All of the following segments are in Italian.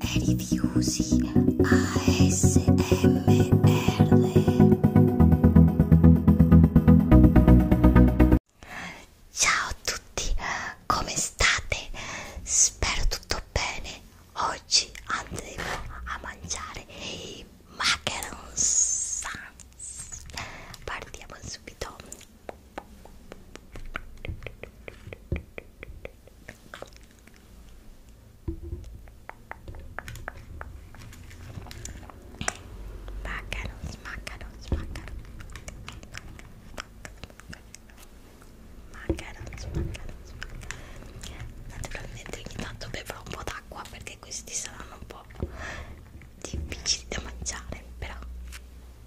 Rifiusi ASMR Ciao a tutti, come state? Spero tutto bene. Oggi andremo a mangiare i macarons. Partiamo subito. Smaccano, smaccano, smaccano. Smaccano, smaccano, smaccano. Naturalmente ogni tanto bevo un po' d'acqua perché questi saranno un po' difficili da mangiare, però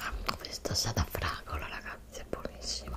Amo ecco, questa salata fragola ragazzi, è buonissima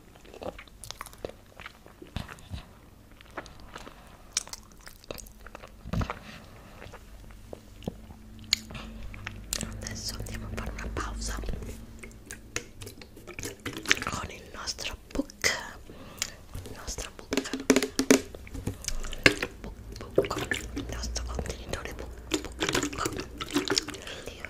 Adesso andiamo a fare una pausa con il nostro book, il nostro book, book, book. il nostro contenitore book, book, book. Dio,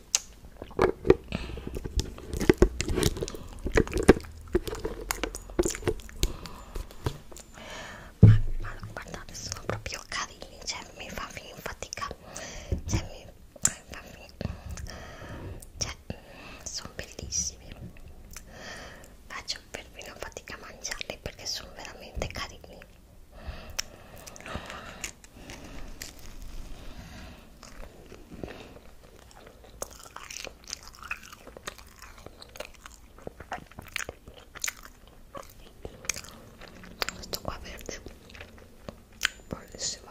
ma, ma guardate sono proprio carini cioè mi fa fin fatica cioè mi, mi fa fin cioè mm, sono bellissimi faccio perfino fatica a mangiarli perché sono veramente carini Estou com a verde por cima.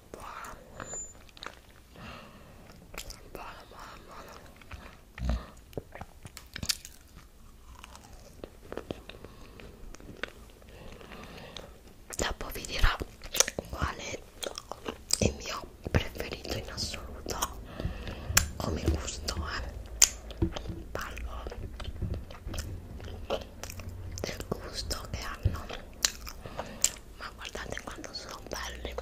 buona buona buona buona dopo vi dirò quale è il mio preferito in assoluto come gusto eh. parlo del gusto che hanno ma guardate quanto sono belli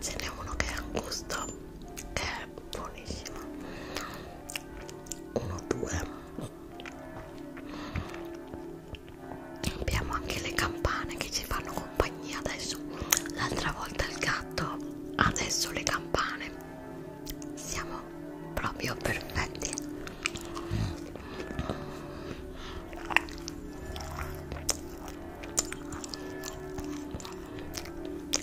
ce n'è uno che ha un gusto che è buonissima 1 2 abbiamo anche le campane che ci fanno compagnia adesso l'altra volta il gatto adesso le campane siamo proprio perfetti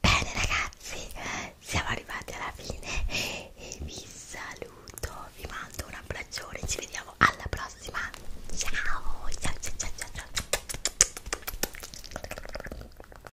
Bene ragazzi, siamo arrivati alla fine e vi saluto, vi mando un abbraccione, ci vediamo alla prossima. Ciao, ciao, ciao, ciao, ciao. ciao.